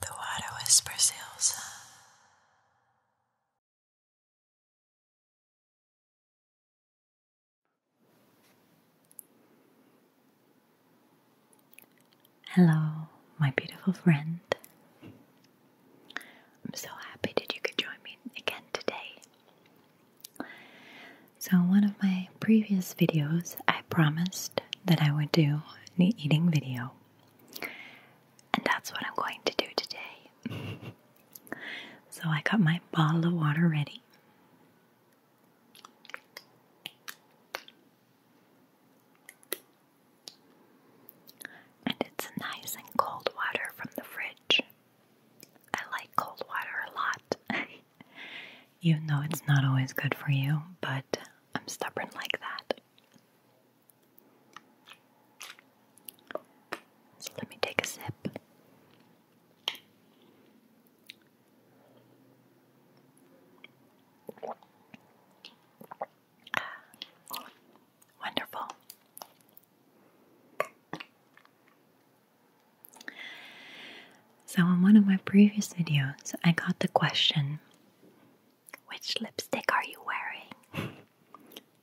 The water whispers Elsa. Hello, my beautiful friend. I'm so happy that you could join me again today. So, in one of my previous videos, I promised that I would do an eating video, and that's what I'm going to do today. so I got my bottle of water ready. And it's nice and cold water from the fridge. I like cold water a lot. even though it's not always good for you, but I'm stubborn like that. So let me take a sip. Wonderful. So, in one of my previous videos, I got the question which lipstick are you wearing?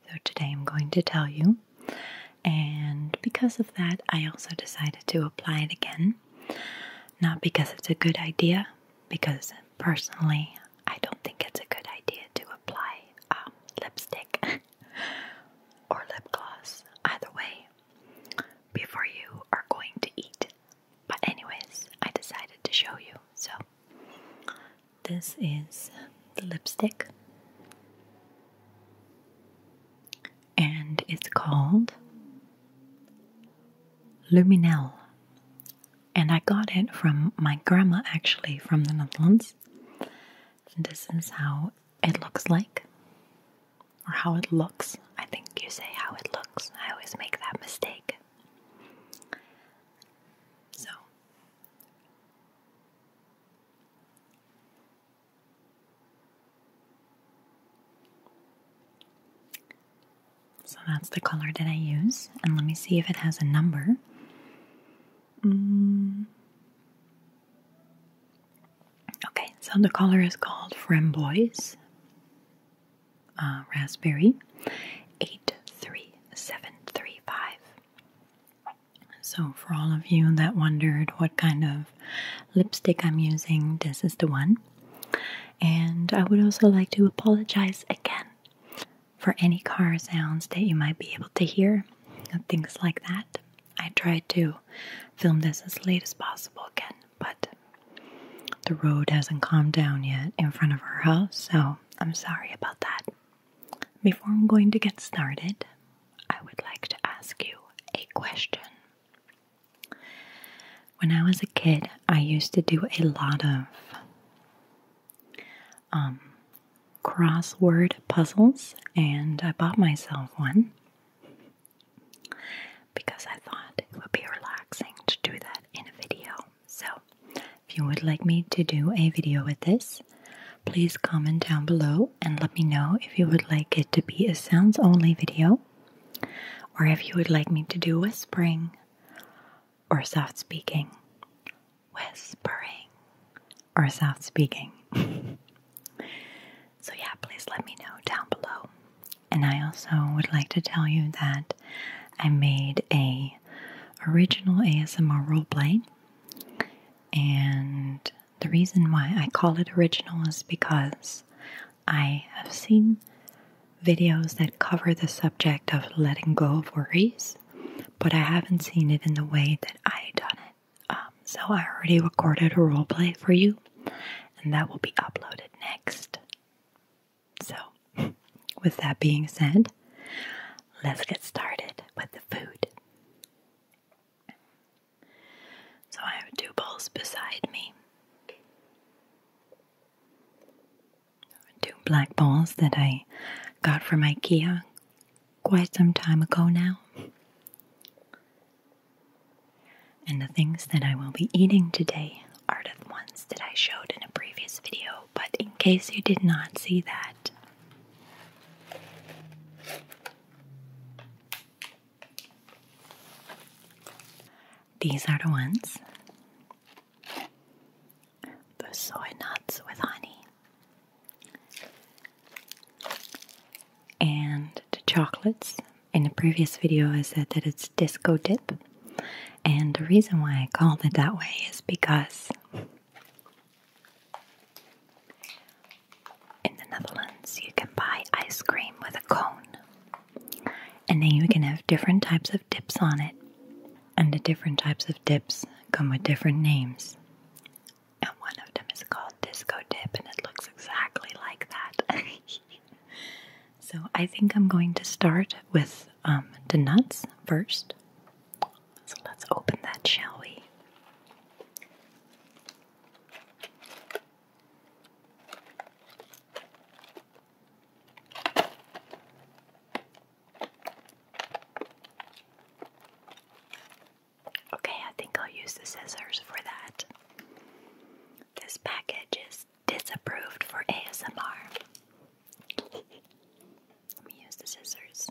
so, today I'm going to tell you, and because of that, I also decided to apply it again. Not because it's a good idea, because personally, I don't think it's a good idea to apply um, lipstick or lip gloss either way before you are going to eat but, anyways, I decided to show you. So, this is the lipstick, and it's called Luminelle. And I got it from my grandma actually from the Netherlands. And this is how it looks like or how it looks. I think you say how it looks. I always make that mistake. So, so that's the color that I use, and let me see if it has a number. Mm. Okay, so the color is called Framboise. Uh, raspberry 83735. So, for all of you that wondered what kind of lipstick I'm using, this is the one. And I would also like to apologize again for any car sounds that you might be able to hear, things like that. I tried to film this as late as possible again, but the road hasn't calmed down yet in front of our house, so I'm sorry about that. Before I'm going to get started, I would like to ask you a question. When I was a kid, I used to do a lot of um, crossword puzzles, and I bought myself one because I thought it would be relaxing to do that in a video. So, if you would like me to do a video with this, please comment down below and let me know if you would like it to be a sounds only video, or if you would like me to do whispering or soft speaking. Whispering or soft speaking. so, yeah, please let me know down below. And I also would like to tell you that I made a original ASMR roleplay. And the reason why I call it original is because I have seen videos that cover the subject of letting go of worries, but I haven't seen it in the way that I done it. Um, so I already recorded a roleplay for you and that will be uploaded next. So, with that being said, let's get started with the food. So, I have two bowls beside me. Two black bowls that I got from IKEA quite some time ago now. And the things that I will be eating today are the ones that I showed in a previous video, but in case you did not see that, these are the ones the soy nuts with honey, and the chocolates in the previous video, I said that it's disco dip. And the reason why I called it that way is because in the Netherlands you can buy ice cream with a cone. And then you can have different types of dips on it. And the different types of dips come with different names. And one of them is called disco dip and it looks exactly like that. So I think I'm going to start with um, the nuts first. So let's open that, shall we? Okay, I think I'll use the scissors for that. This package is disapproved for ASMR. Let me use the scissors.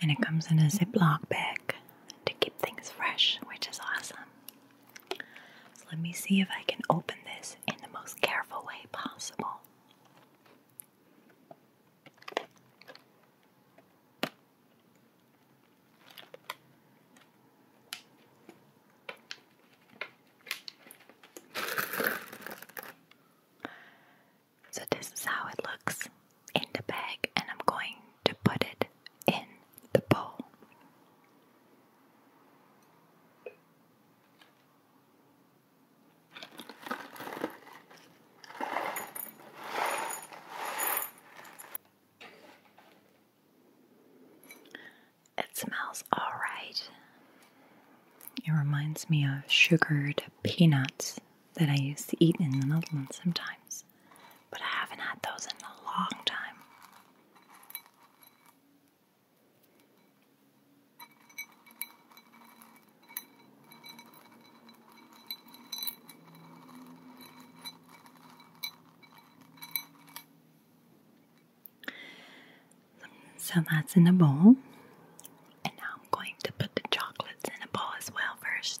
And it comes in a Ziploc bag to keep things fresh, which is awesome. So let me see if I can open this in the most careful way possible. So this is how it looks in the bag and I'm going to put it in the bowl. It smells alright. It reminds me of sugared peanuts that I used to eat in the Netherlands sometimes, but I haven't had those in a long time. So that's in a bowl. And now I'm going to put the chocolates in a bowl as well first.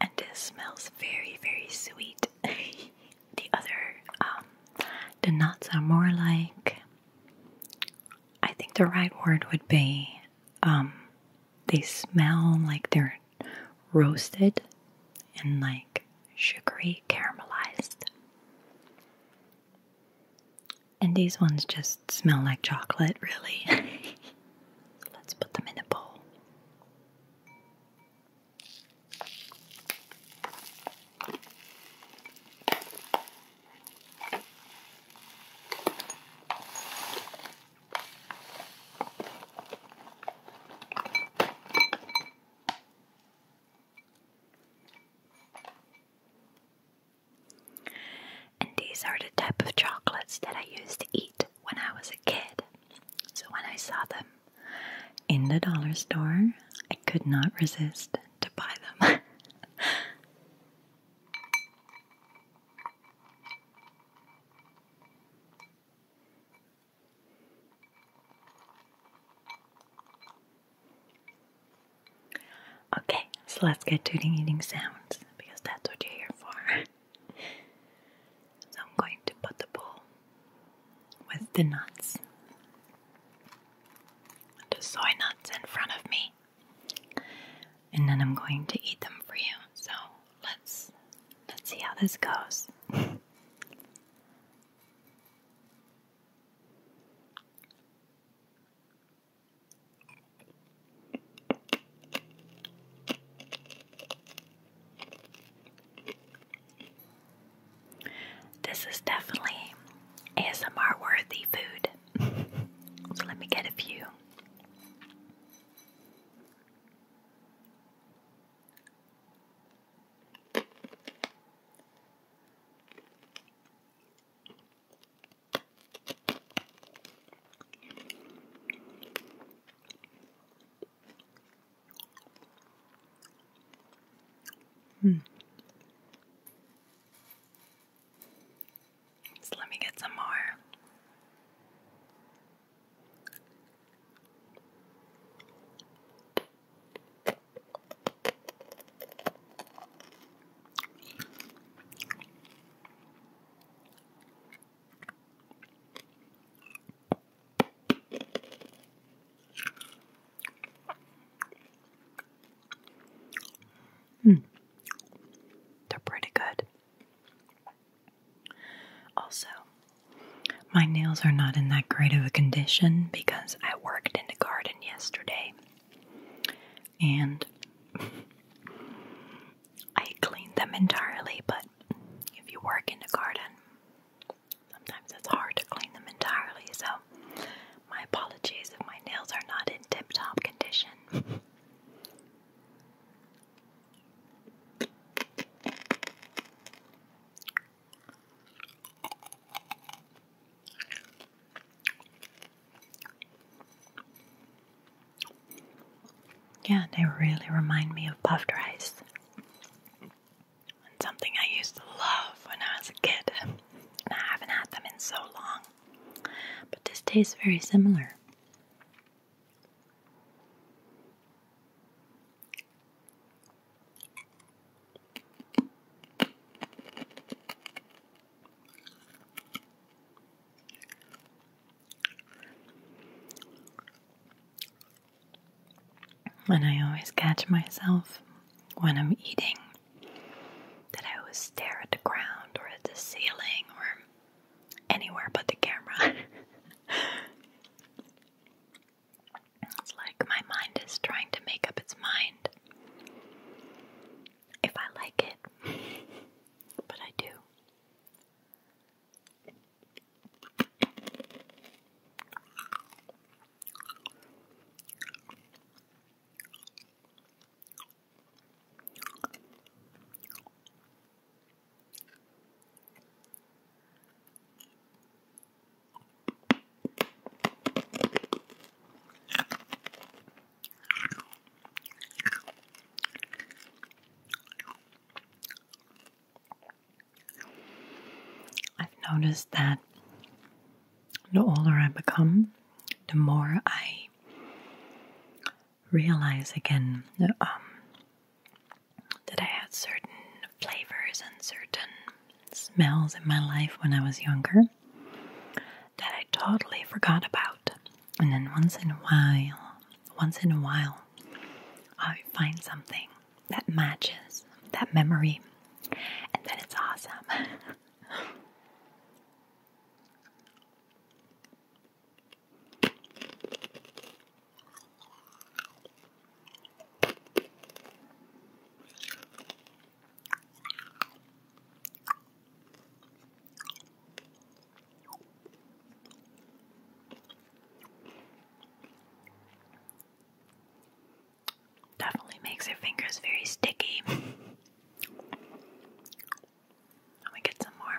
And it smells very, very sweet. the other, um, the nuts are more like, I think the right word would be, um, they smell like they're roasted and like sugary caramelized. And these ones just smell like chocolate, really. Let's put them in a bowl. And these are the type of chocolates that I used to eat when I was a kid. So when I saw them in the dollar store, I could not resist to buy them. Okay, so let's get to the eating sounds because that's what you're here for. so I'm going to put the bowl with the nuts, the soy nuts in front of me, and then I'm going to eat them for you. So let's let's see how this goes. This is definitely ASMR worthy food. so let me get a few. Hmm. let me get some more. Hmm. They're pretty good. Also, my nails are not in that great of a condition because I worked in the garden yesterday, and I cleaned them entirely. But if you work in the garden, sometimes it's hard to clean them entirely. So, my apologies if my nails are not in tip top condition. Yeah, they really remind me of puffed rice. something I used to love when I was a kid. I haven't had them in so long. But this tastes very similar. And I always catch myself when I'm eating that I always stare at the ground or at the ceiling or anywhere but the camera. It's like my mind is trying to make up its mind if I like it, but I do. I've noticed that the older I become, the more I realize again um, that, I had certain flavors and certain smells in my life when I was younger that I totally forgot about. And then once in a while, once in a while, I find something that matches that memory, and then it's awesome. Definitely makes your fingers very sticky. Let me get some more.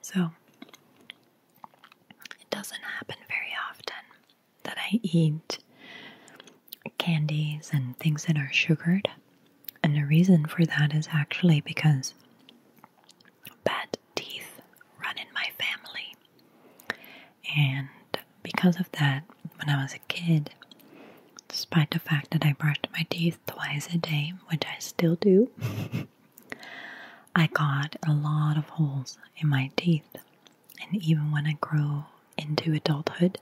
So, it doesn't happen very often that I eat candies and things that are sugared. And the reason for that is actually because bad teeth run in my family. And because of that, when I was a kid, despite the fact that I brushed my teeth twice a day, which I still do, I got a lot of holes in my teeth. And even when I grow into adulthood,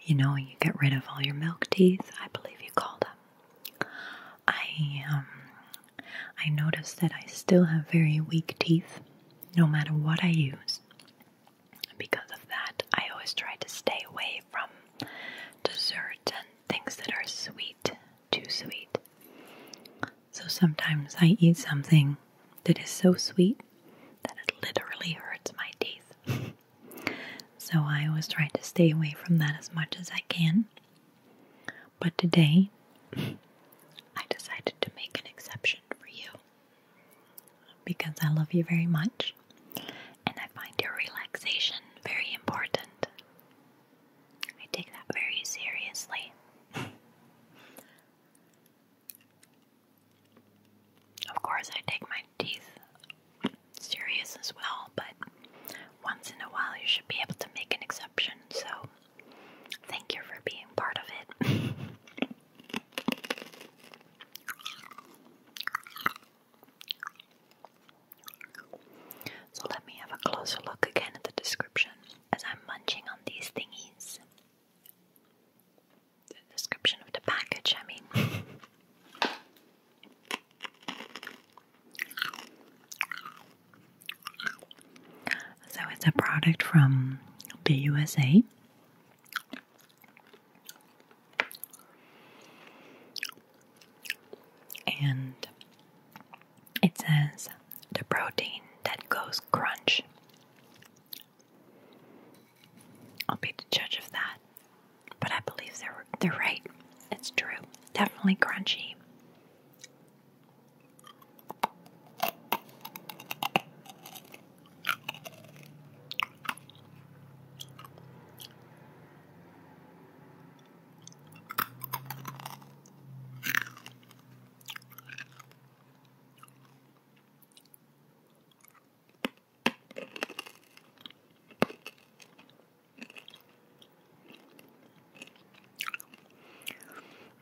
you know, you get rid of all your milk teeth, I believe you call them. I um, I noticed that I still have very weak teeth no matter what I use because of that, I always try to stay away from dessert and things that are sweet, too sweet. So sometimes I eat something that is so sweet that it literally hurts my teeth. so I always try to stay away from that as much as I can. But today, I decided to make an exception for you because I love you very much and I find your relaxation very important. I take that very seriously. of course, I take my teeth serious as well, but once in a while you should be able to make an exception, so thank you for being part of it. So let me have a closer look again at the description as I'm munching on these thingies. The description of the package, I mean. So it's a product from BUSA. And it says the protein that goes crunch. I'll be the judge of that, but I believe they're they're right. It's true, definitely crunchy.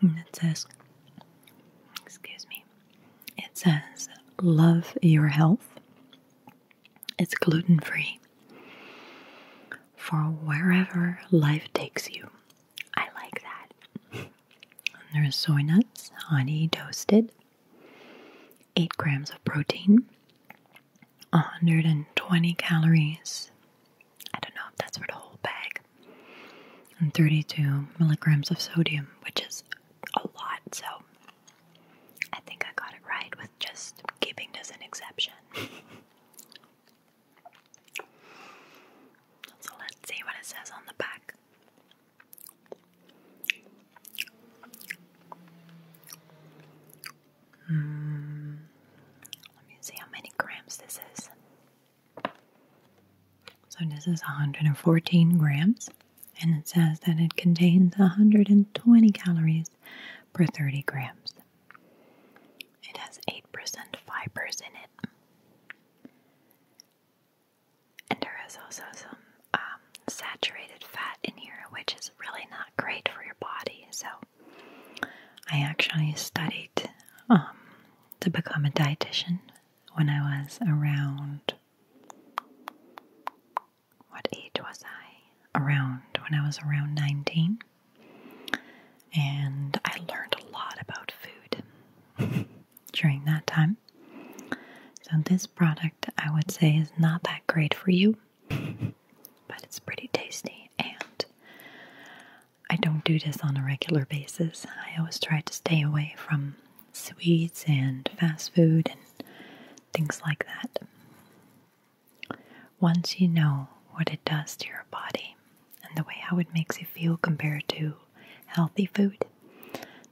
And it says, excuse me, it says, Love your health. It's gluten free. For wherever life takes you. I like that. There's soy nuts, honey toasted, 8 grams of protein, 120 calories. I don't know if that's for the whole bag. And 32 milligrams of sodium, which is a lot. So I think I got it right with just keeping it as an exception. so let's see what it says on the back. Hmm. Let me see how many grams this is. So, this is 114 grams and it says that it contains 120 calories per 30 grams. It has 8% fibers in it. And there is also some um, saturated fat in here, which is really not great for your body. So, I actually studied um, to become a dietitian when I was around what age was I? Around when I was around 19. And I learned a lot about food during that time. So, this product I would say is not that great for you, but it's pretty tasty. And I don't do this on a regular basis. I always try to stay away from sweets and fast food and things like that. Once you know what it does to your body and the way how it makes you feel compared to healthy food,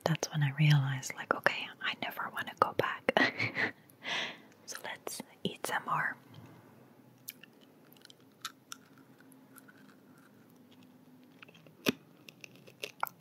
that's when I realized, like, okay, I never want to go back. so let's eat some more.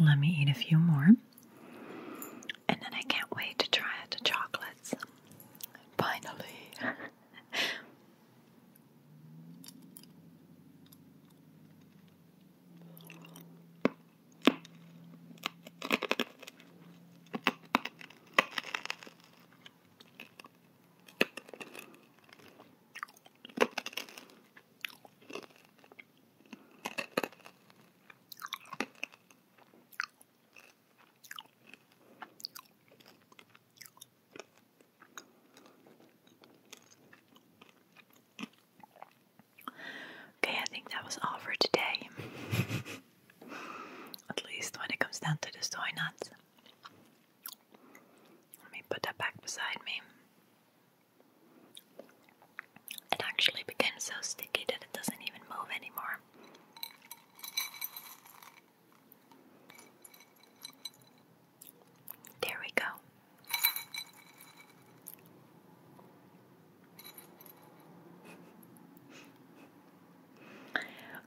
Let me eat a few more. And then I can't wait to try the chocolates. Finally. Okay, I think that was all for today. At least when it comes down to the soy nuts. Let me put that back beside me. It actually became so sticky that it doesn't even move anymore. There we go.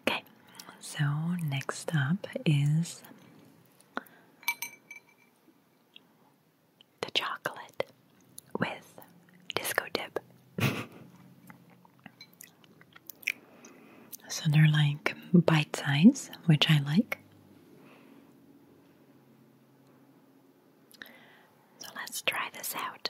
Okay, so next up is the chocolate with disco dip. so they're like bite size, which I like. So let's try this out.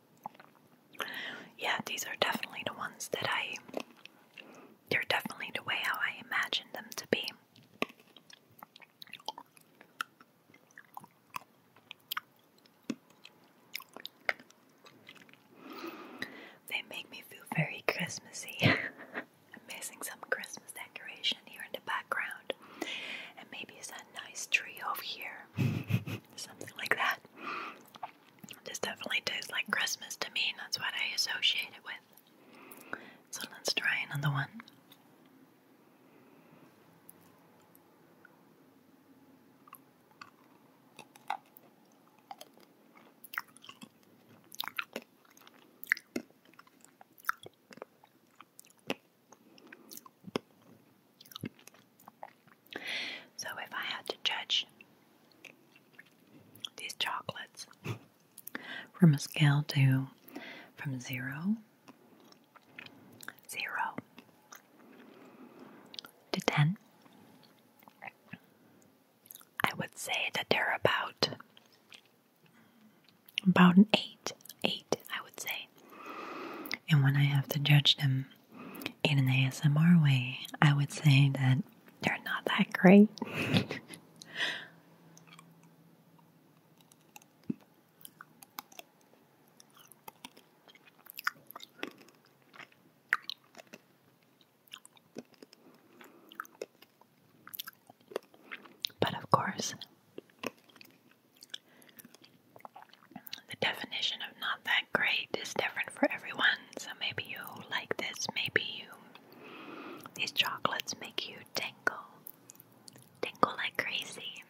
Yeah, these are definitely the ones that I. They're definitely the way how I imagined them to be. They make me feel very Christmassy. I'm missing some Christmas decoration here in the background, and maybe it's a nice tree over here, something like that. This definitely tastes like Christmas to me, and that's what I associate it with. So let's try another one. So if I had to judge these chocolates from a scale to from zero, zero to ten, I would say that they're about about an eight, eight I would say. And when I have to judge them in an ASMR way, I would say that they're not that great. But of course, the definition of not that great is different for everyone. So maybe you like this, maybe you. These chocolates make you tingle. Tingle like crazy.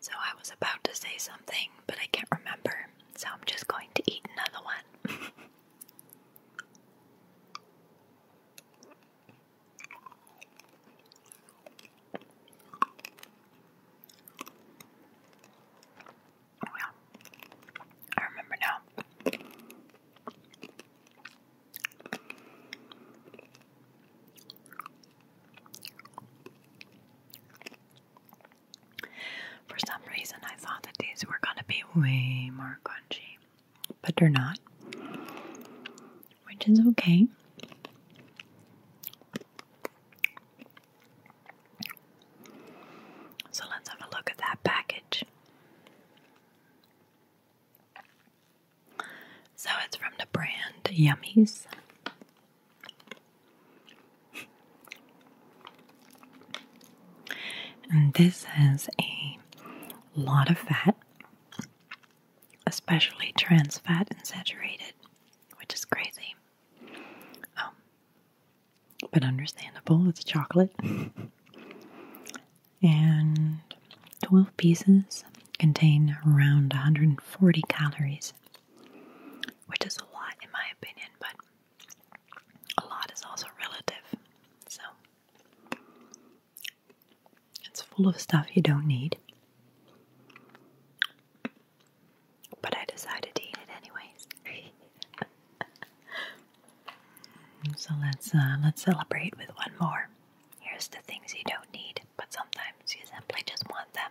So I was about to say something, but I can't remember. So I'm just going to eat another one. I remember now. For some reason, I thought that these were going to be way more crunchy but they're not, which is okay. So let's have a look at that package. So it's from the brand Yummies. And this has a a lot of fat, especially trans fat and saturated, which is crazy. Um, but understandable, it's chocolate. and 12 pieces contain around 140 calories, which is a lot in my opinion, but a lot is also relative. So, it's full of stuff you don't need. But I decided to eat it anyways. so let's uh, let's celebrate with one more. Here's the things you don't need, but sometimes you simply just want them.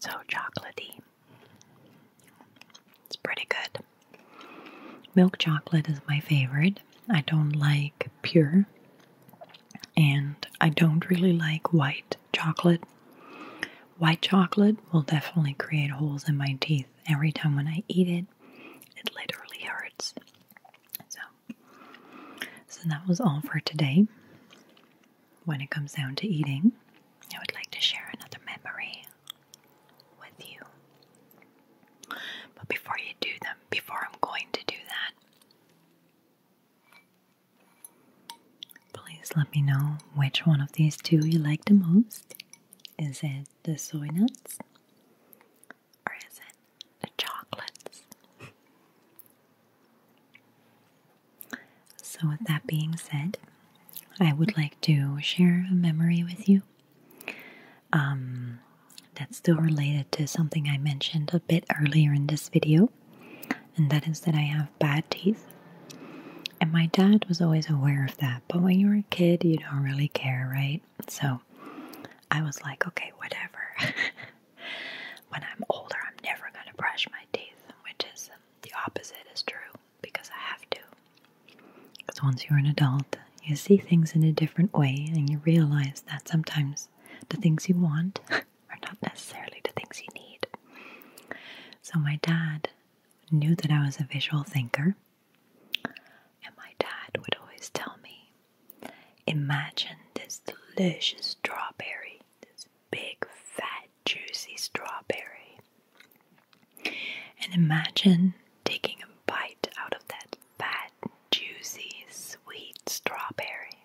So chocolatey. It's pretty good. Milk chocolate is my favorite. I don't like pure, and I don't really like white chocolate. White chocolate will definitely create holes in my teeth every time when I eat it. It literally hurts. So so that was all for today. When it comes down to eating, I would like to share another memory with you. But before you do them, before I'm going to do that, please let me know which one of these two you like the most. Is it the soy nuts or is it chocolates. So, with that being said, I would like to share a memory with you um, that's still related to something I mentioned a bit earlier in this video, and that is that I have bad teeth. And my dad was always aware of that, but when you're a kid, you don't really care, right? So I was like, okay, whatever. when I'm older, I'm never going to brush my teeth, which is the opposite is true because I have to. Because once you're an adult, you see things in a different way and you realize that sometimes the things you want are not necessarily the things you need. So, my dad knew that I was a visual thinker, and my dad would always tell me Imagine this delicious strawberry, this big, fat, juicy strawberry. And imagine taking a bite out of that fat, juicy, sweet strawberry.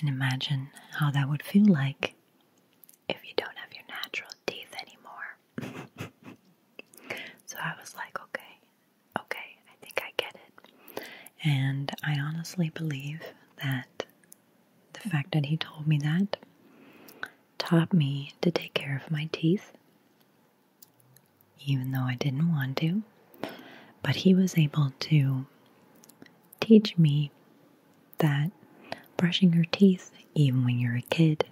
And imagine how that would feel like if you don't have your natural teeth anymore. so I was like, okay, okay, I think I get it. And I honestly believe that the fact that he told me that taught me to take care of my teeth, even though I didn't want to. But he was able to teach me that brushing your teeth, even when you're a kid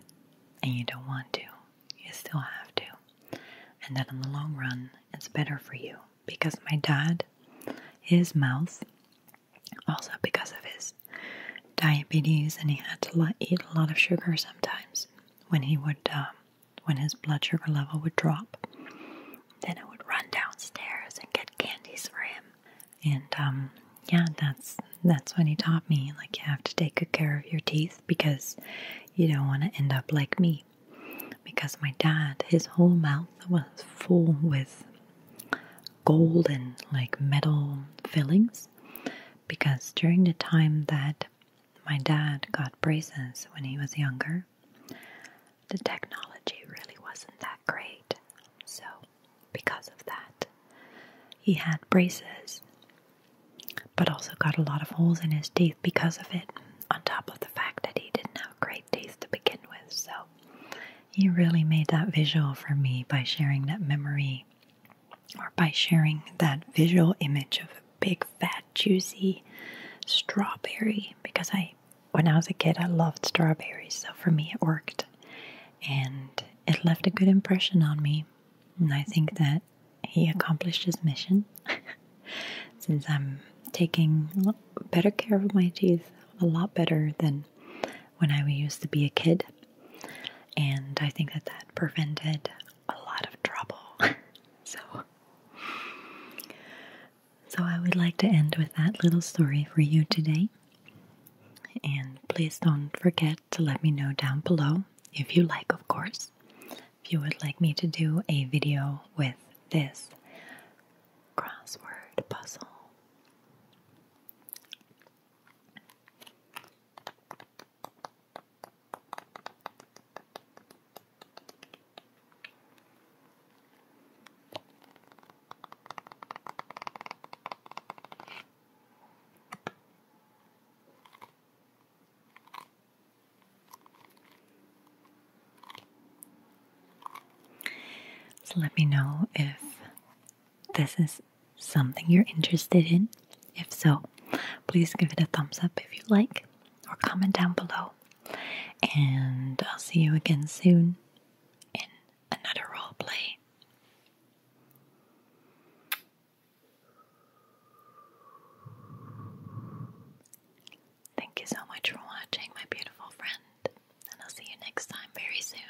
and you don't want to, you still have to. And that in the long run, it's better for you. Because my dad, his mouth, also because of his diabetes, and he had to eat a lot of sugar sometimes when he would, uh, when his blood sugar level would drop. Then I would run downstairs and get candies for him. And um, yeah, that's that's when he taught me like you have to take good care of your teeth because you don't want to end up like me. Because my dad, his whole mouth was full with gold and like metal fillings. Because during the time that my dad got braces when he was younger, the technology really wasn't that great. So, because of that, he had braces but also got a lot of holes in his teeth because of it, on top of the fact that he didn't have great teeth to begin with. So he really made that visual for me by sharing that memory or by sharing that visual image of a big, fat, juicy strawberry because I when I was a kid I loved strawberries, so for me it worked and it left a good impression on me. And I think that he accomplished his mission. Since I'm taking better care of my teeth, a lot better than when I used to be a kid, and I think that that prevented a lot of trouble. so, so I would like to end with that little story for you today. And please don't forget to let me know down below if you like, of course if you would like me to do a video with this crossword puzzle. So let me know if this is something you're interested in. If so, please give it a thumbs up if you like, or comment down below. And I'll see you again soon in another role play. Thank you so much for watching, my beautiful friend, and I'll see you next time very soon.